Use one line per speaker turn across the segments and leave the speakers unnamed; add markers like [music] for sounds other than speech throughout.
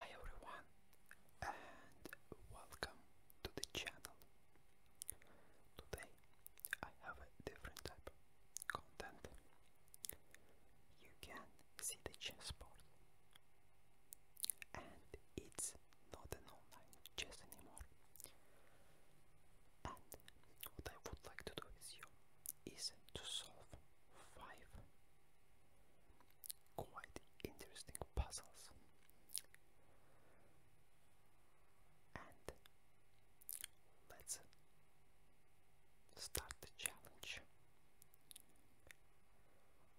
Hi everyone and welcome to the channel. Today I have a different type content. You can see the chess and it's not an online chess anymore. And what I would like to do with you is to solve five quite interesting puzzles. And let's start the challenge.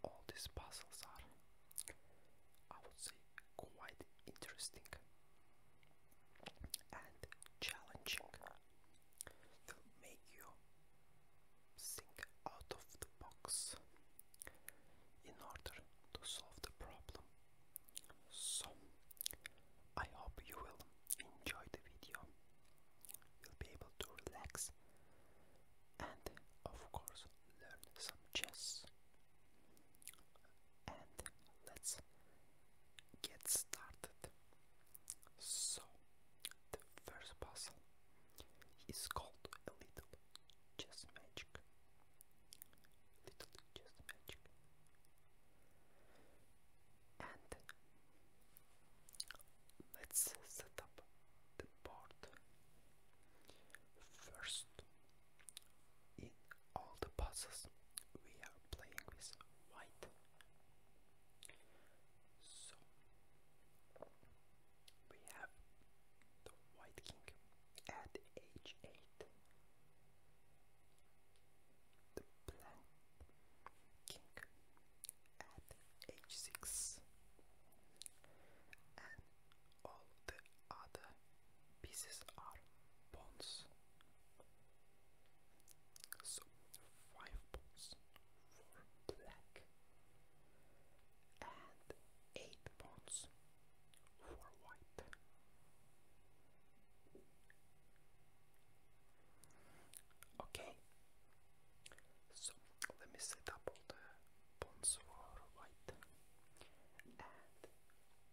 All these puzzles are, I would say, quite interesting and challenging. will make you think out of the box in order to solve the problem. So, I hope you will enjoy the video, you'll be able to relax and, of course, learn some chess. And let's get started. So, the first puzzle is called a little chess magic. Little chess magic. And let's set up the board first. In all the puzzles, we are playing with white. So we have the White King at h8, the Black King at h6, and all the other pieces are pawns. So five points for black and eight points for white. Okay, so let me set up all the pawns for white and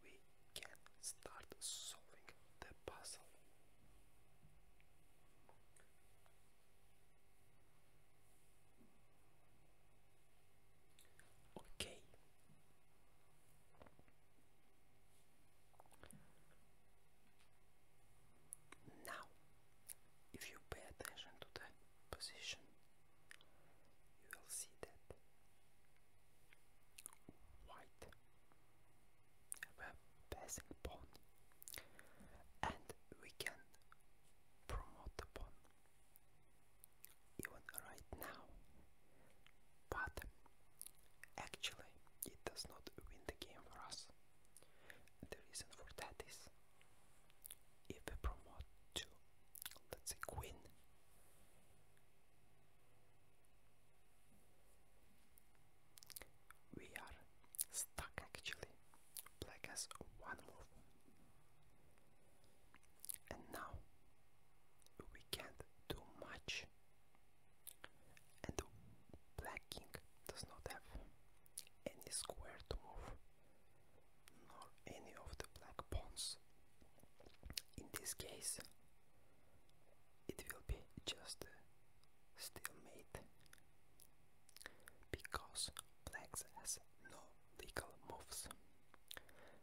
we can start solving the puzzle. Okay. Now, if you pay attention to the position, you will see that white web passing pawn and we can promote upon even right now but actually it does not win the game for us the reason for that is if we promote to let's say queen we are stuck actually. Black has one move. And now we can't do much. And Black King does not have any square to move, nor any of the black pawns. In this case, it will be just uh, stalemate because blacks has no legal moves.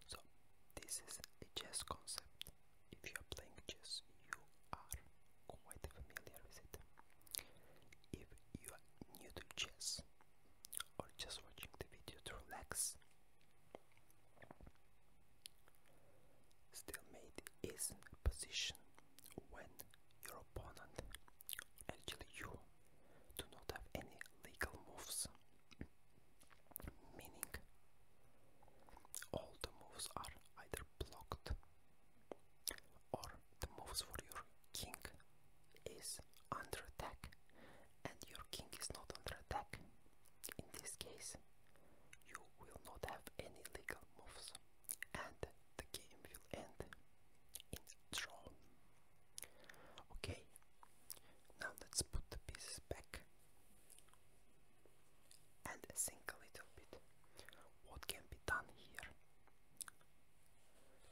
So this is a chess concept. If you are playing chess, you are quite familiar with it. If you are new to chess or just watching the video to relax, stalemate is position when your opponent, actually you, do not have any legal moves, meaning all the moves are either blocked or the moves for your king is under attack and your king is not under attack. In this case, you will not have any legal moves and the game will end in draw. Okay, now let's put the pieces back and think a little bit. What can be done here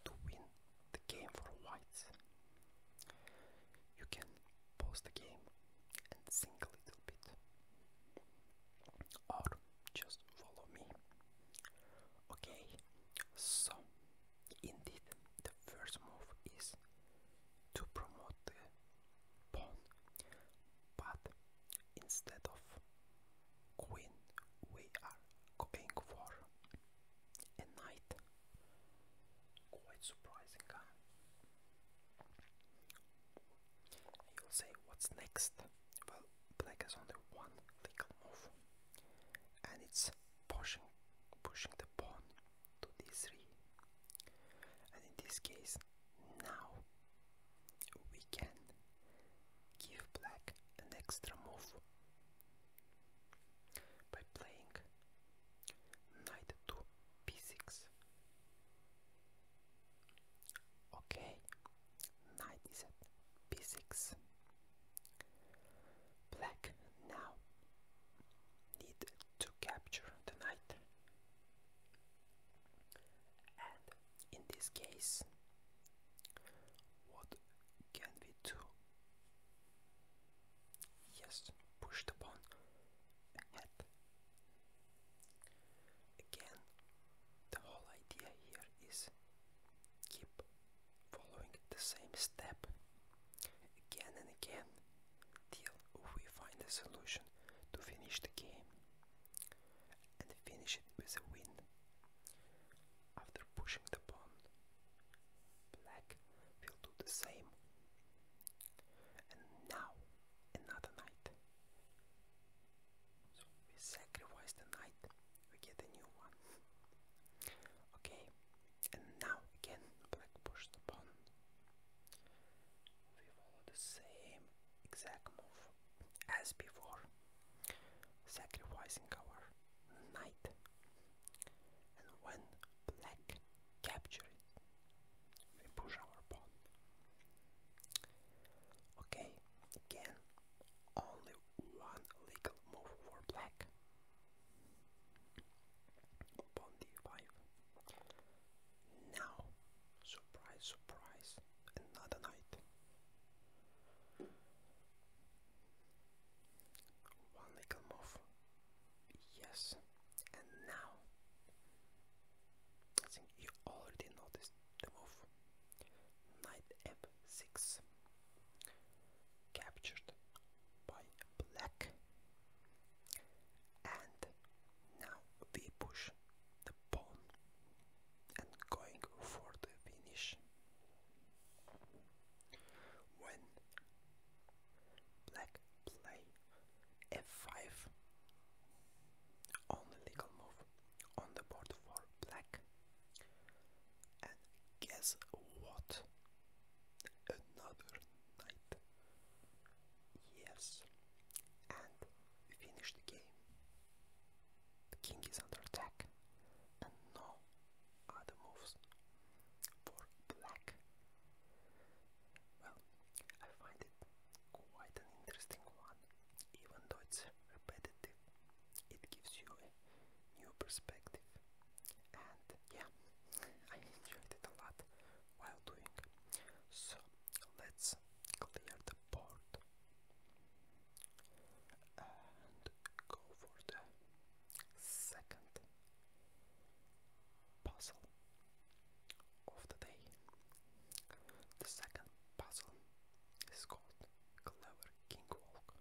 to win the game for whites? You can pause the game and think a little bit. Or just follow me. Okay, so indeed, the first move is to promote the pawn, but instead of queen, we are going for a knight. Quite surprising, huh? You'll say, what's next? Well, black has only one legal move, and it's pushing, pushing the pawn to d3. And in this case, now we can give black an extra move by playing knight to b6 Okay, knight is at b6. Black now need to capture the knight. And in this case, what can we do? Yes, push the pawn ahead. Again, the whole idea here is keep following the same step again and again till we find a solution to finish the game and finish it with a win. After pushing the pawn, black will do the same. And now another knight. So we sacrifice the knight, we get a new one. okay, and now again black pushes the pawn. We follow the same exact move as before, sacrificing our knight. And when black captures it, we push our pawn. Okay, Again, only one legal move for black. Pawn d5. Now, surprise, surprise, another knight. One legal move. Yes, and now I think you already noticed the move. Knight f6 captured by black and now we push the pawn and going for the finish when black play f5 only legal move on the board for black. And guess what? Another knight. Yes. And finish the game. The king is under attack. And no other moves for black. Well, I find it quite an interesting one even though it's repetitive. It gives you a new perspective, and yeah, I enjoyed it a lot while doing. So let's clear the board and go for the second puzzle of the day. The second puzzle is called Clever King Walk.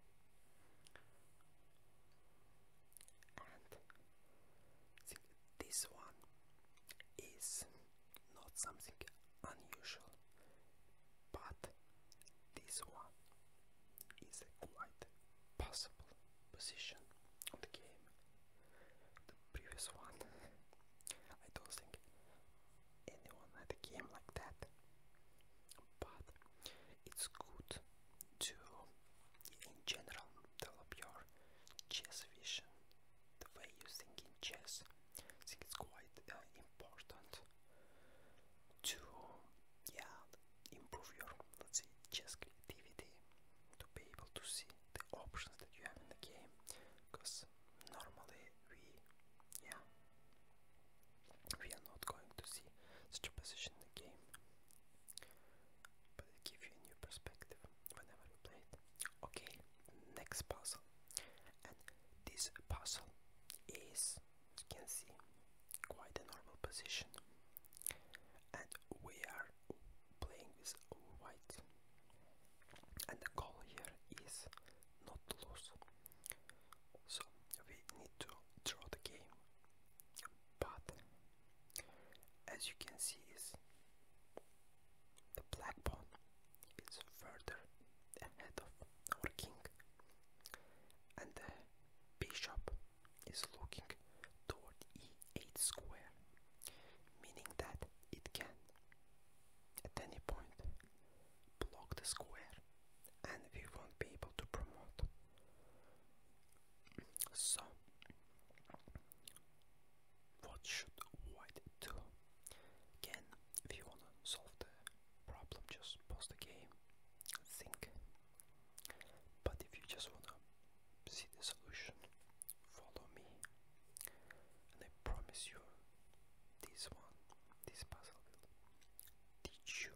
And this one is not something unusual, but this one is quite possible position on the game the previous one. I don't think anyone had a game like that. But it's good to, in general, develop your chess vision, the way you think in chess. I think it's quite uh, important to, yeah, improve your, let's say, chess creativity, to be able to see the options that you have in the game because normally we yeah we are not going to see such a position in the game but it gives you a new perspective whenever you play it okay next puzzle and this puzzle is you can see quite a normal position and we are playing with white and the goal here is not to lose so we need to draw the game but as you can see is the black pawn is further ahead of our king and the bishop is looking toward e8 square meaning that it can at any point, block the square, and we won't be able to promote. So, what should white do? Again, if you wanna solve the problem, just pause the game, think. But if you just wanna see the solution, follow me, and I promise you this one, this puzzle teach you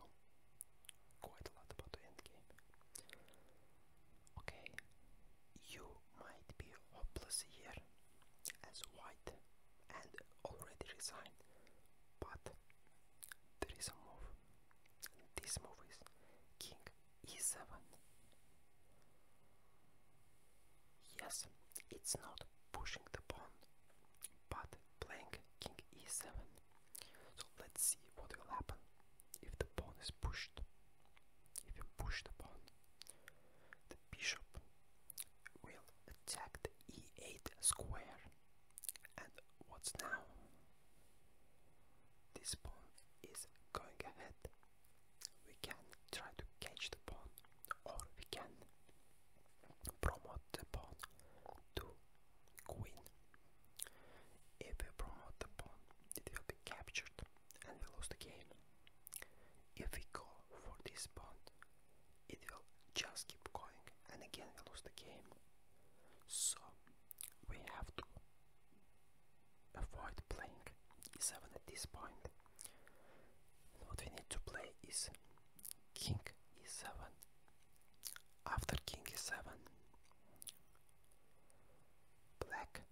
quite a lot about endgame. Okay, you might be hopeless here as white and already resigned, but there is a move. This move is King e7. Yes, it's not pushing the pawn, but playing king e7. So let's see what will happen if the pawn is pushed. If you push the pawn, the bishop will attack the e8 square. And what's now? This pawn is going ahead we can try to catch the pawn or we can promote the pawn to queen. If we promote the pawn, it will be captured and we lose the game. If we go for this pawn, it will just keep going and again we lose the game. So we have to avoid playing e7 at this point. And what we need to play is king e7. After king e7, black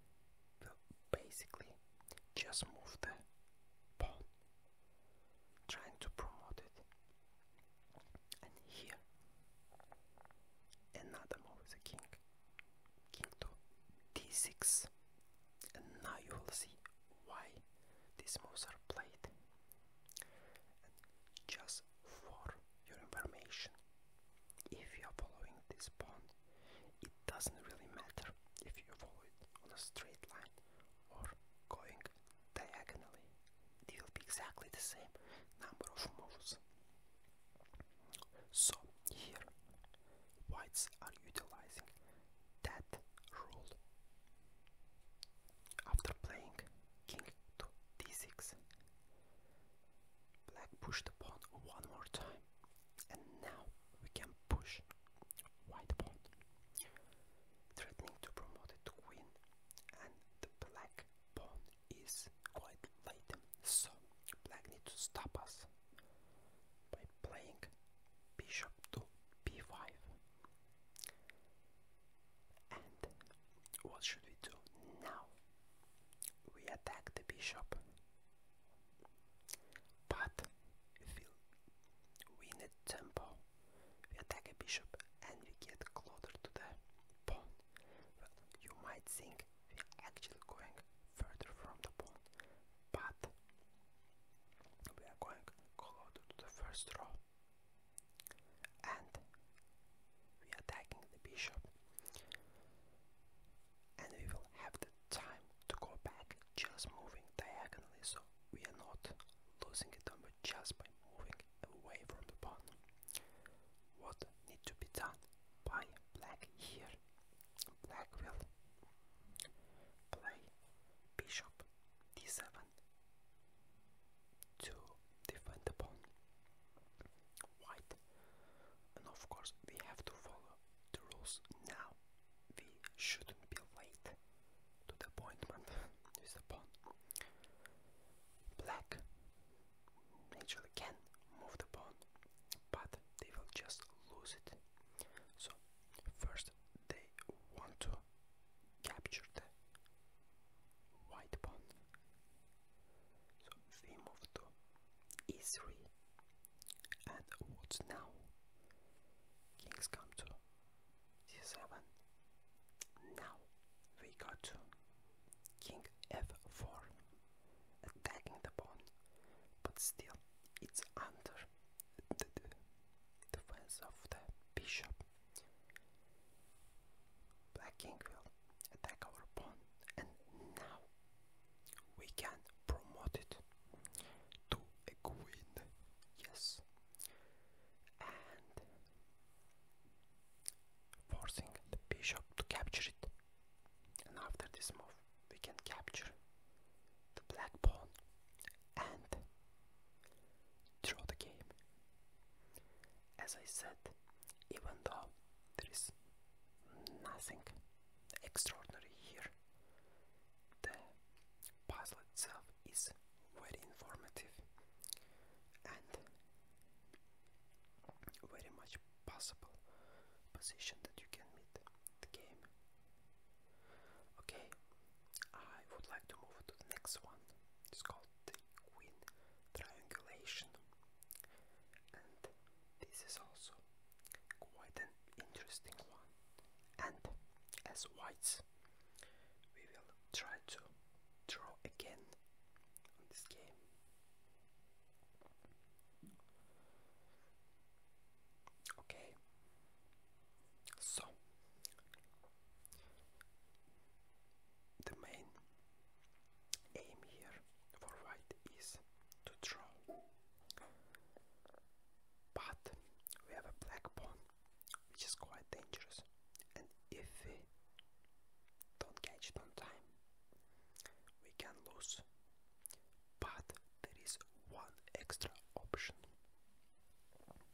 will basically just move the pawn, trying to promote it. And here, another move is a king king to d6 and now you will see why these moves are played just for your information if you are following this pawn it doesn't really matter if you follow it on a straight line or going diagonally it will be exactly the same number of moves so here whites are utilizing that rule. After playing king to d6, black pushed the pawn one more time, and now we can push white pawn, threatening to promote it to queen, and the black pawn is quite late, so black needs to stop us by playing bishop to b5. And what should we do now? We attack the bishop, but we win a tempo, we attack a bishop and we get closer to the pawn. Well, you might think we're actually going further from the pond, but we are going closer to the first row and we are attacking the bishop and we will have the time to go back just moving diagonally so we are not losing it on just by moving away from the pawn. What needs to be done by black here black will play bishop d7 to defend the pawn white and of course we have to follow the rules now we shouldn't be late to the appointment [laughs] with the pawn black naturally can move the pawn, but they will just lose it. So first they want to capture the white pawn. So we move to e3 and what's now? Kings come to c7. Now we got to king f4 attacking the pawn, but still it's under the defense of the bishop. Black king will attack our pawn, and now we can promote it to a queen. Yes, and forcing the bishop to capture it. And after this move, we can capture the black pawn and draw the game. As I said, even though there is nothing extraordinary here, the puzzle itself is very informative and very much possible position that you can meet the game. Okay, I would like to move to the next one. It's called the Queen Triangulation, and this is also quite an interesting one. And as whites, we will try to draw again on this game. Okay. So the main aim here for white is to draw. But we have a black pawn which is quite dangerous and if we don't catch it on time we can lose. But there is one extra option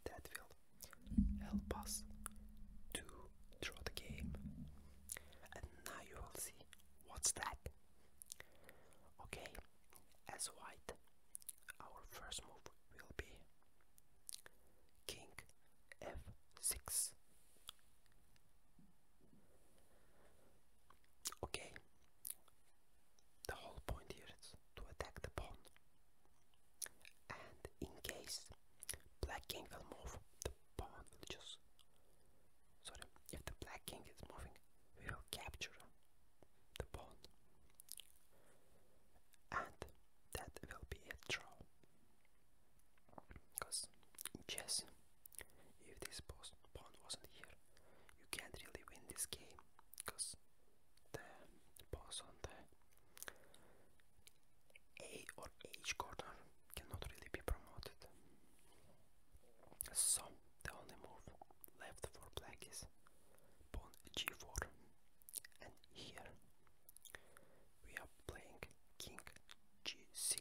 that will help us to draw the game. And now you will see what's that. Okay, as white, our first move will be King f6. Okay, the whole point here is to attack the pawn, and in case black king will move, the pawn just. Sorry, if the black king is moving, will capture the pawn, and that will be a draw. Because chess, if this pawn wasn't here, you can't really win this game. Because the pawn on the A or H corner cannot really be promoted. So the only move left for black is pawn g4 and here we are playing king g6.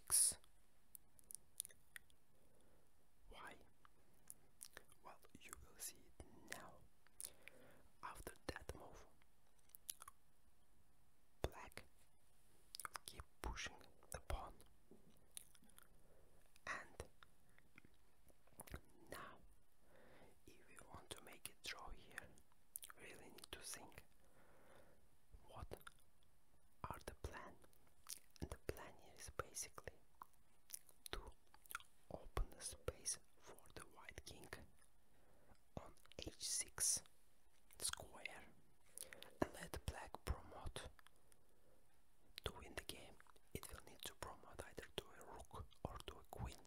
Why? Well, you will see it now. After that move, black keep pushing the pawn, and now, if we want to make a draw here, really need to think what are the plan. And the plan here is basically to open the space for the white king on h6 square and let black promote to win the game. It will need to promote either to a rook or to a queen.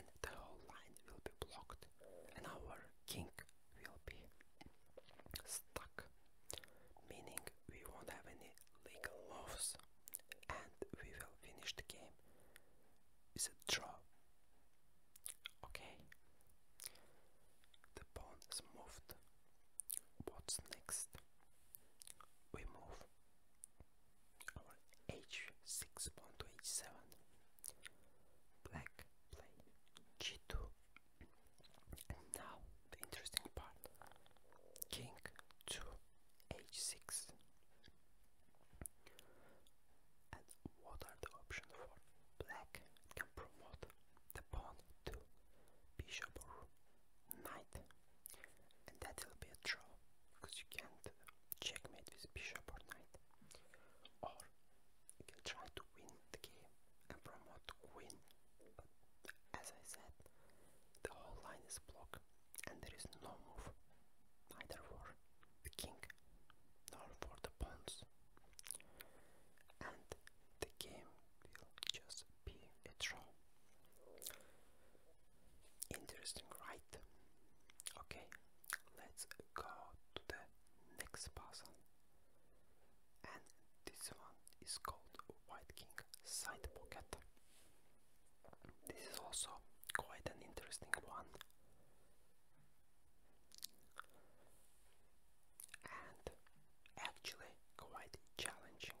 And the whole line will be blocked and our king stack will be stuck, meaning we won't have any legal moves and we will finish the game with a draw. Okay, the pawn is moved. What's next? We move our h6 pawn to h7. Black g2 and now the interesting part king to h6 and what are the options for black can promote the pawn to bishop or knight and that will be a draw because you can't checkmate with bishop or knight or you can try to win the game and promote to but as I said, the whole line is blocked and there is no move, neither for the king nor for the pawns. And the game will just be a draw. Interesting, right? Okay, let's go to the next puzzle. And this one is called White King Side Pocket. This is also quite an interesting one. And actually quite challenging.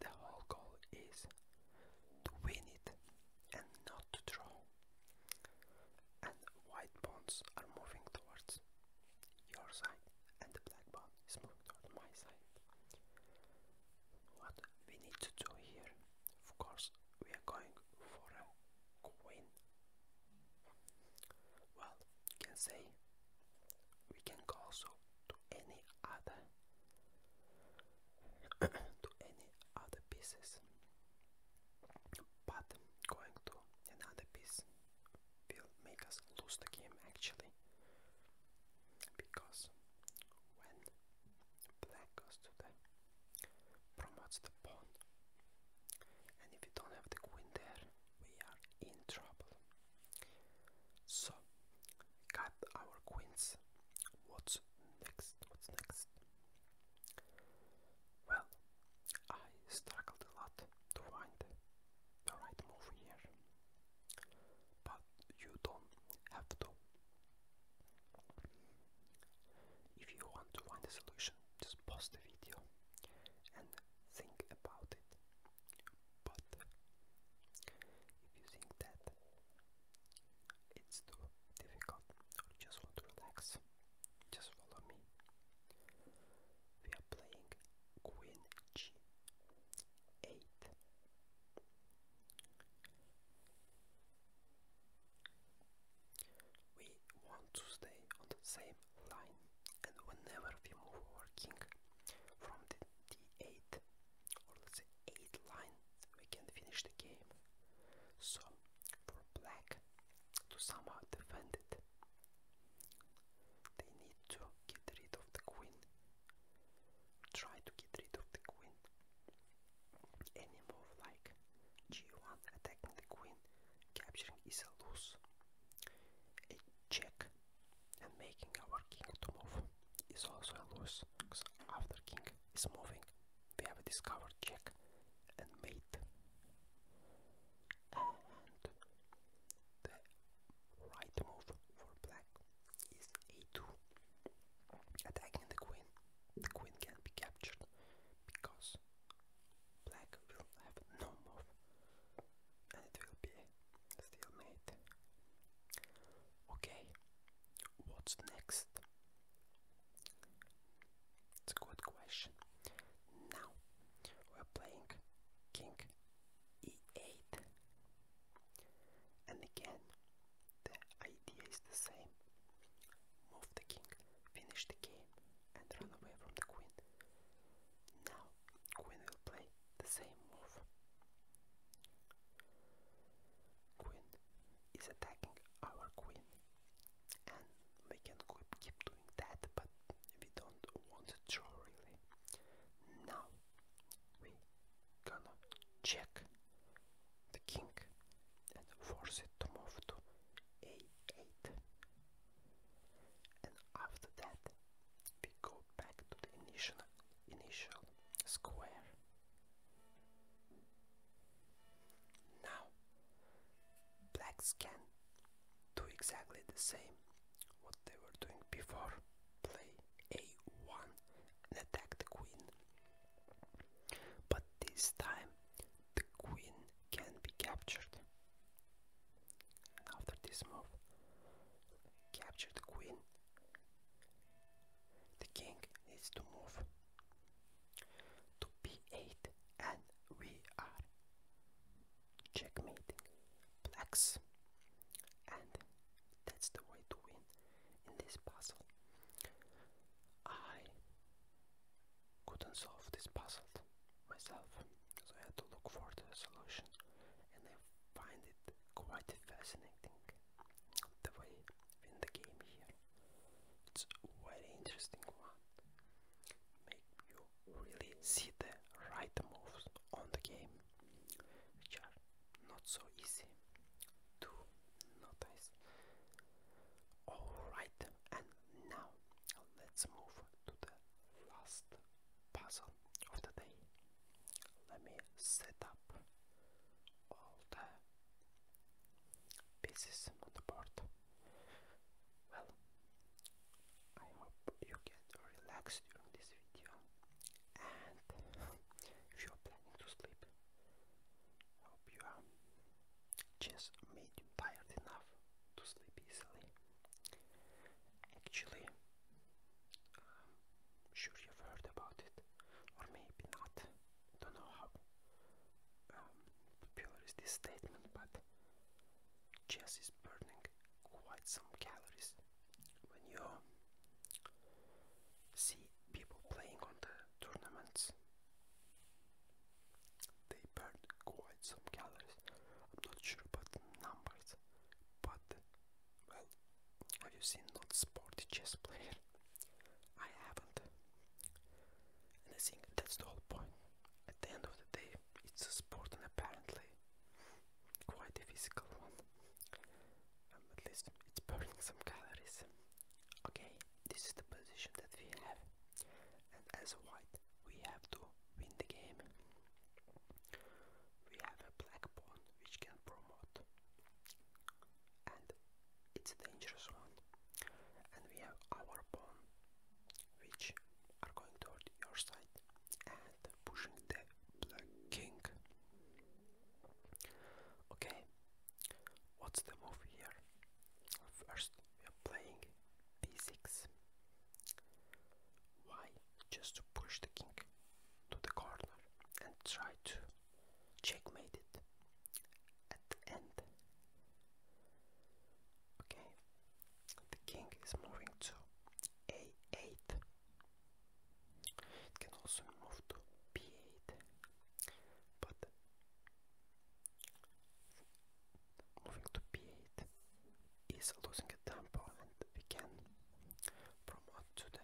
The whole goal is to win it and not to draw. And white bonds are moving towards your side, and the black pawn is moving towards my side. What we need to do here, of course, we are going for a queen. Well, you can say we can also to any other [clears throat] to any other pieces but going to another piece will make us lose the game actually because when black goes to the promotes the pawn and if we don't have the queen there we are in trouble so, got our queens. What's next? What's next? Well, I struggled a lot to find the right move here, but you don't have to. If you want to find a solution, just pause the video and think about it. But if you think that it's too difficult or just want to relax, just follow me. We are playing Queen G8. We want to stay on the same line, and whenever we move our king from the d8 or let's say 8 lines we can finish the game. So for black to somehow defend it, they need to get rid of the queen. Try to get rid of the queen. Any move like g1 attacking the queen, capturing is a loss. A check and making our king to move is also a loss, because after king is moving, we have discovered check and mate. And the right move for black is a2, attacking the queen. The queen can be captured because black will have no move and it will be still made. Okay, what's next? It's a good question. Now we're playing King e8, and again the idea is the same. Move the king, finish the game, and run away from the queen. Now Queen will play the same move. Queen is attacking our queen, and we can keep doing that, but we don't want to draw really. Now we gonna check the king and force it to move to a8, and after that we go back to the initial, initial square. Now, blacks can do exactly the same what they were doing before. Play a1 and attack the queen. But this time, the queen can be captured. after this move, Capture the queen. The king needs to move to b8 and we are checkmating blacks and that's the way to win in this puzzle. I couldn't solve this puzzle myself so I had to look for the solution and I find it quite fascinating the way in the game here it's very interesting one make you really see the right moves on the game which are not so easy to notice alright and now let's move to the last puzzle of Let me set up all the pieces on Well, I hope you get relaxed during this video and [laughs] if you are planning to sleep, I hope you are just made tired enough to sleep easily actually um, sure you've heard about it or maybe not don't know how um, popular is this statement but chess is burning quite some calories when you see people playing on the tournaments they burn quite some calories not sure about numbers but well, have you seen not sporty chess player? I haven't. And I think that's the whole point. At the end of the day, it's a sport and apparently quite a physical one. Um, at least it's burning some calories. Okay, this is the position that we have. And as white, we have to win the game we have a black pawn which can promote and it's a dangerous one and we have our pawn which are going toward your side and pushing the black king okay what's the move here first we are playing b6 why just to push the king to the corner and try to checkmate it at the end. Okay, the king is moving to a8. It can also move to b8, but moving to b8 is losing a tempo and we can promote to the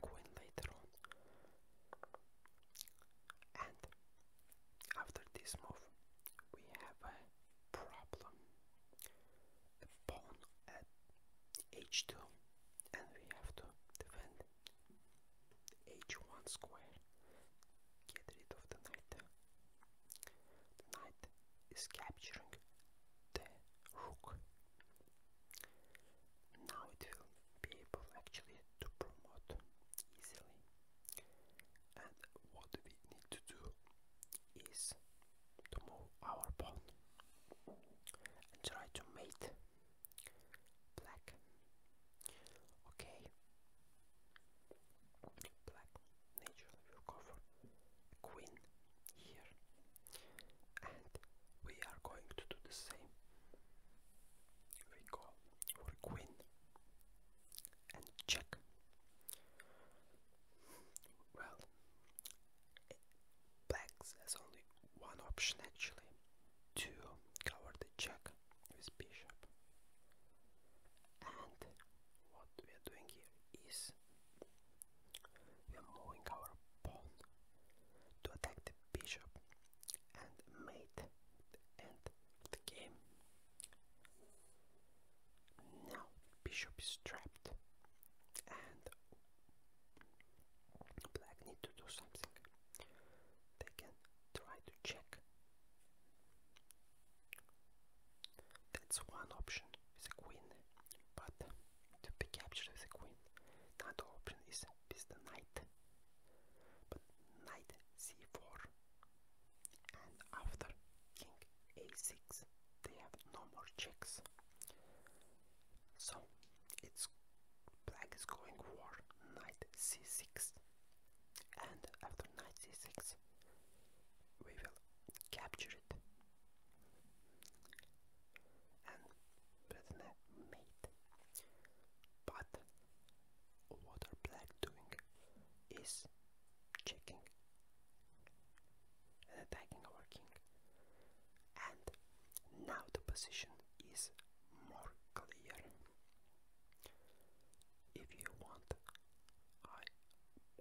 queen later on. And after this move, we have a problem. A pawn at h2 and we have to defend h1 square. Get rid of the knight. The knight is capturing the rook. Now it will be able actually to promote easily. And what we need to do is to move our pawn and try to mate black. Okay black naturally will cover queen here and we are going to do the same we go for queen and check well blacks has only one option actually to cover the check with bishop and what we are doing here is we are moving our pawn to attack the bishop and mate the the game. Now bishop is trapped and black need to do something. They can try to check that's one option with a queen, but to be with a queen. Another option is with the knight, but knight c4, and after king a6, they have no more checks. So it's black is going for knight c6, and after knight c6, we will capture it and Bretna mate. But what are black doing is checking attacking our And now the position is more clear. If you want I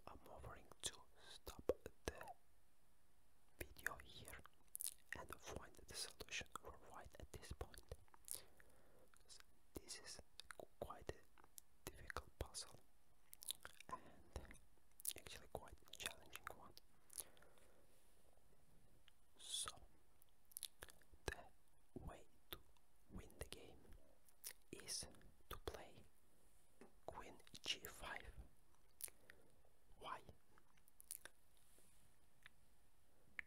am offering to stop the video here and find the solution right at this point. This is quite a difficult puzzle and actually quite challenging one. So the way to win the game is to play queen g5. Why?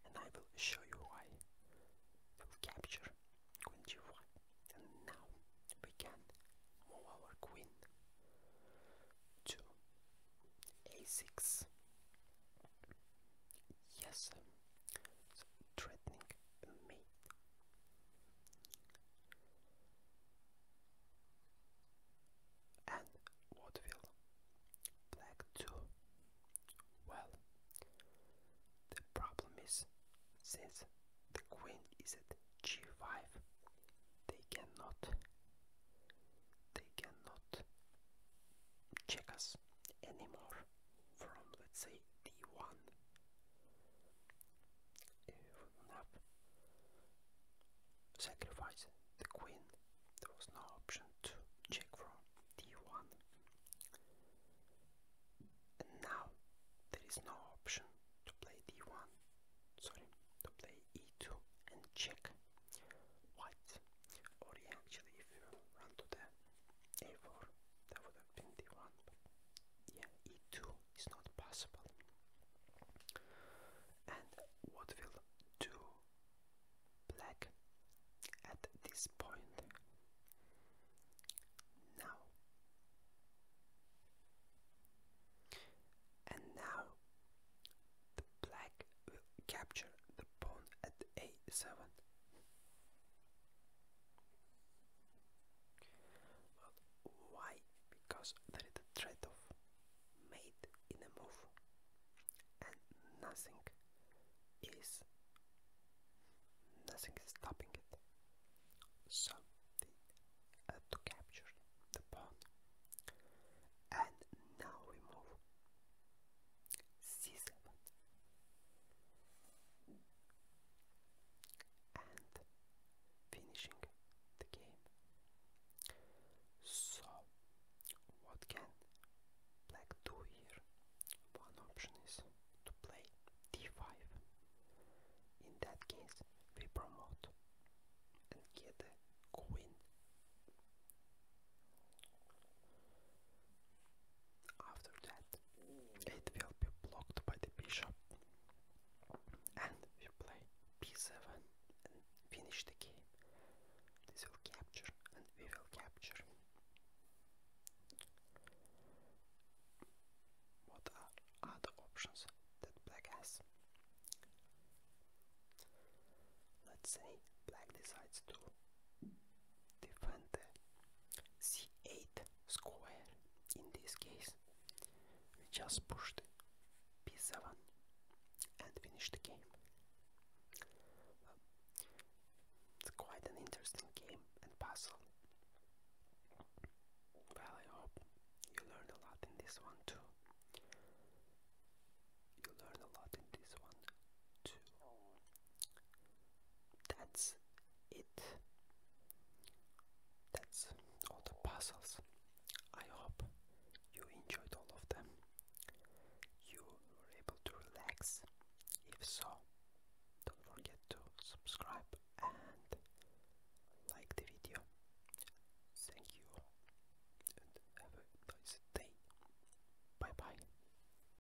And I will show you why. we capture queen g1. And now we can move our queen to a6, Yes, threatening me. And what will black do? Well, the problem is since the queen is at g5, they cannot they cannot check us anymore from let's say d1 uh, map sacrifice the queen there was no option to check from d1 and now there is no option to play d1 sorry to play e2 and check white or actually if you run to the a4, that would have been d1, yeah, e2 is not possible. And what will do black at this point? Now. And now the black will capture the pawn at a7 why? Because there is a trade-off made in a move, and nothing is nothing stopping it. So to capture the pawn, and now we move. C7 and finishing the game. So, what can black do here? One option is to play d5. In that case, we promote and get a queen. After that, it will be blocked by the bishop, and we play b7 finish the game. This will capture, and we will capture. What are other options that black has? Let's say black decides to defend c8 square in this case we just pushed b7 and finished the game it's quite an interesting game and puzzle well I hope you learned a lot in this one too you learn a lot in this one too that's it. That's all the puzzles. I hope you enjoyed all of them. You were able to relax. If so, don't forget to subscribe and like the video. Thank you and have a nice day. Bye bye.